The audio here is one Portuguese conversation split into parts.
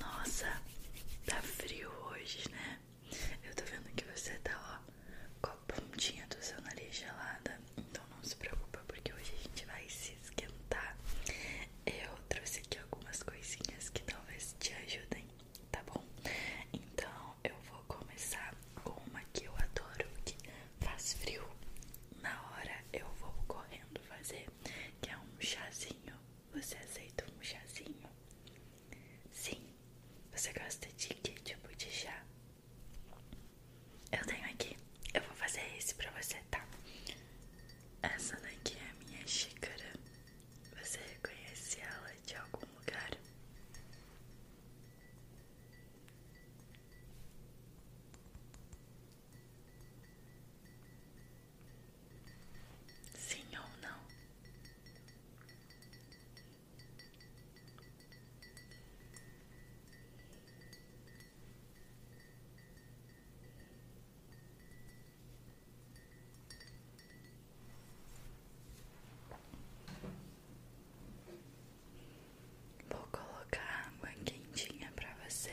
Nossa, tá frio hoje, né? Eu tô vendo que você tá, ó, com a pontinha do seu nariz gelada. Então não se preocupa, porque hoje a gente vai se esquentar. Eu trouxe aqui algumas coisinhas que talvez te ajudem, tá bom? Então eu vou começar com uma que eu adoro, que faz frio. Na hora eu vou correndo fazer, que é um chazinho você aceita um chazinho? Sim. Você gosta de que tipo de chá? Eu tenho aqui. Eu vou fazer esse pra você, tá? Essa daqui é a minha xícara. Você reconhece ela de algum lugar? Sim ou não? Vou colocar água quentinha para você.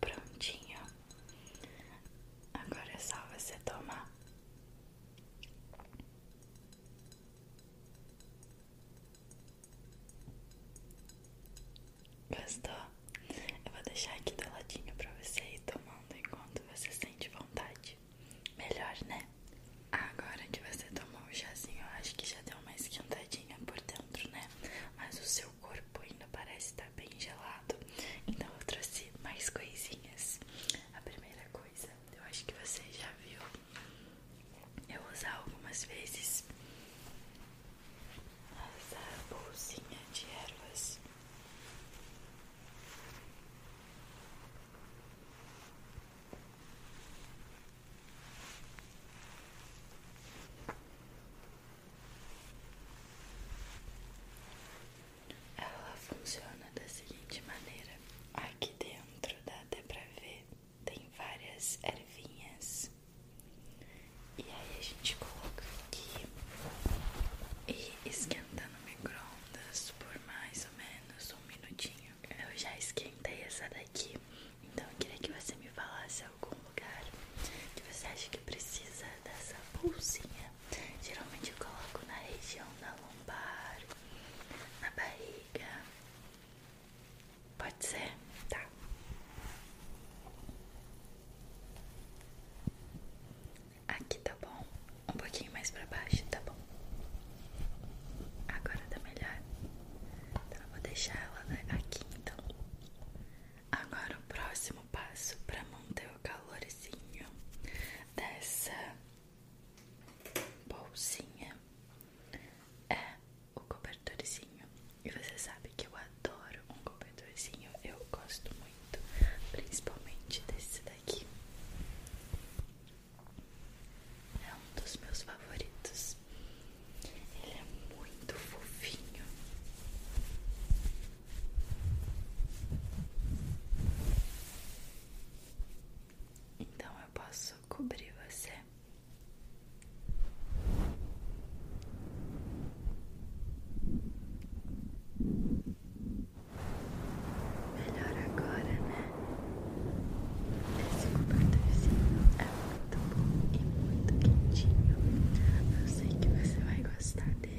prontinho. Agora é só você tomar. Gostou? Eu vou deixar aqui do ladinho pra você ir tomando enquanto você sente vontade. Melhor, né? Agora que você tomou o chazinho, eu acho que já deu uma esquentadinha por dentro, né? Mas o seu seu corpo ainda parece estar bem gelado. Então eu trouxe mais coisinhas. A primeira coisa, eu acho que você já viu eu usar algumas vezes essa bolsinha de ervas. Ela funciona da seguinte maneira: aqui dentro dá até pra ver, tem várias ervinhas. E aí a gente coloca aqui e esquentando no micro-ondas por mais ou menos um minutinho. Eu já esquentei essa daqui então eu queria que você me falasse algum lugar que você acha que precisa dessa bolsinha. Geralmente eu coloco na região da lombar, na barriga. Pode ser? Tá. Aqui tá bom. Um pouquinho mais pra baixo, tá bom. Agora tá melhor. Então eu vou deixar ela aqui então. Agora o próximo passo para manter o calorzinho dessa bolsinha é o cobertorzinho. E você sabe que eu adoro um cobertorzinho, eu gosto muito, principalmente desse daqui. É um dos meus favoritos. Ele é muito fofinho. Então eu posso cobrir você. Melhor agora, né? Esse cobertorzinho é muito tá bom e muito quentinho. Eu sei que você vai gostar dele.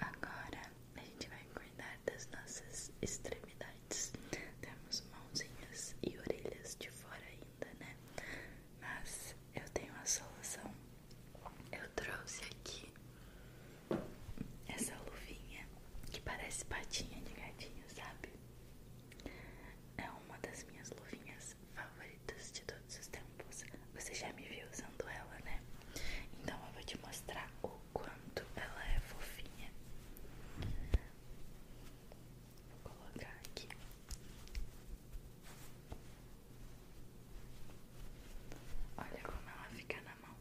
Agora a gente vai cuidar das nossas extremidades. Temos mãozinhas e orelhas de fora ainda, né? Mas eu tenho a solução. Eu trouxe aqui essa luvinha que parece patinha de gatinho, sabe? É uma das minhas luvinhas favoritas de todos os tempos. Você já me viu usando ela, né? Então eu vou te mostrar o quanto ela é fofinha. Vou colocar aqui. Olha como ela fica na mão.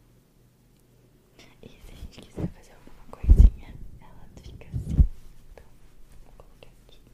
E se a gente quiser fazer alguma coisinha, ela fica assim. Então, vou colocar aqui. Vou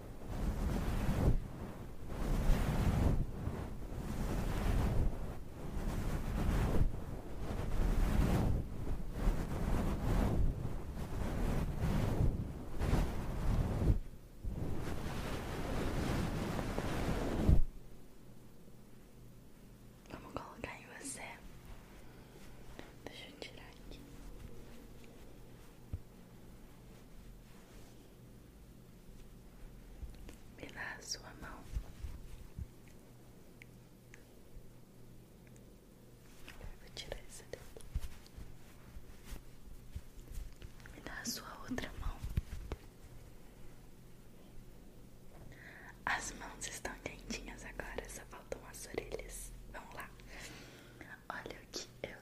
Vamos colocar em você. Deixa eu tirar aqui. Me dá a sua mão. Vou tirar isso daqui. Me dá a sua outra mão. As mãos estão quentinhas agora, só faltam as orelhas. Vamos lá. Olha o que eu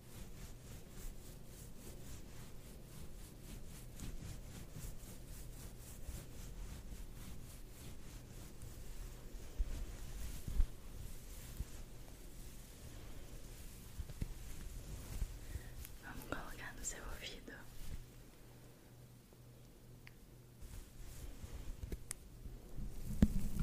Vamos colocar no seu ouvido.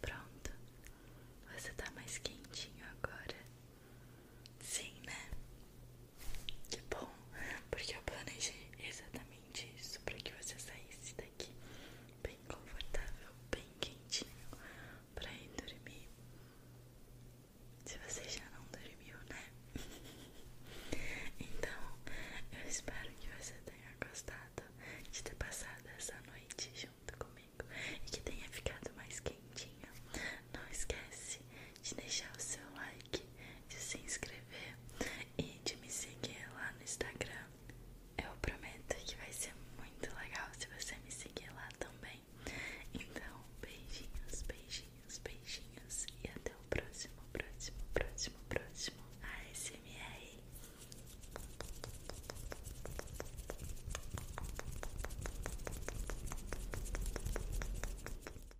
Pronto, você está mais quentinho agora. Sim, né? Que bom, porque eu planejei exatamente isso para que você saísse daqui bem confortável, bem quentinho para ir dormir. Se você já não dormiu, né? então, eu espero que você tenha gostado de ter passado essa noite junto comigo e que tenha ficado mais quentinha. Não esquece de deixar o seu like, de se inscrever e de me seguir lá no Instagram. Eu prometo que vai ser muito legal se você me seguir lá também. Então, beijinhos, beijinhos, beijinhos e até o próximo, próximo, próximo, próximo ASMR.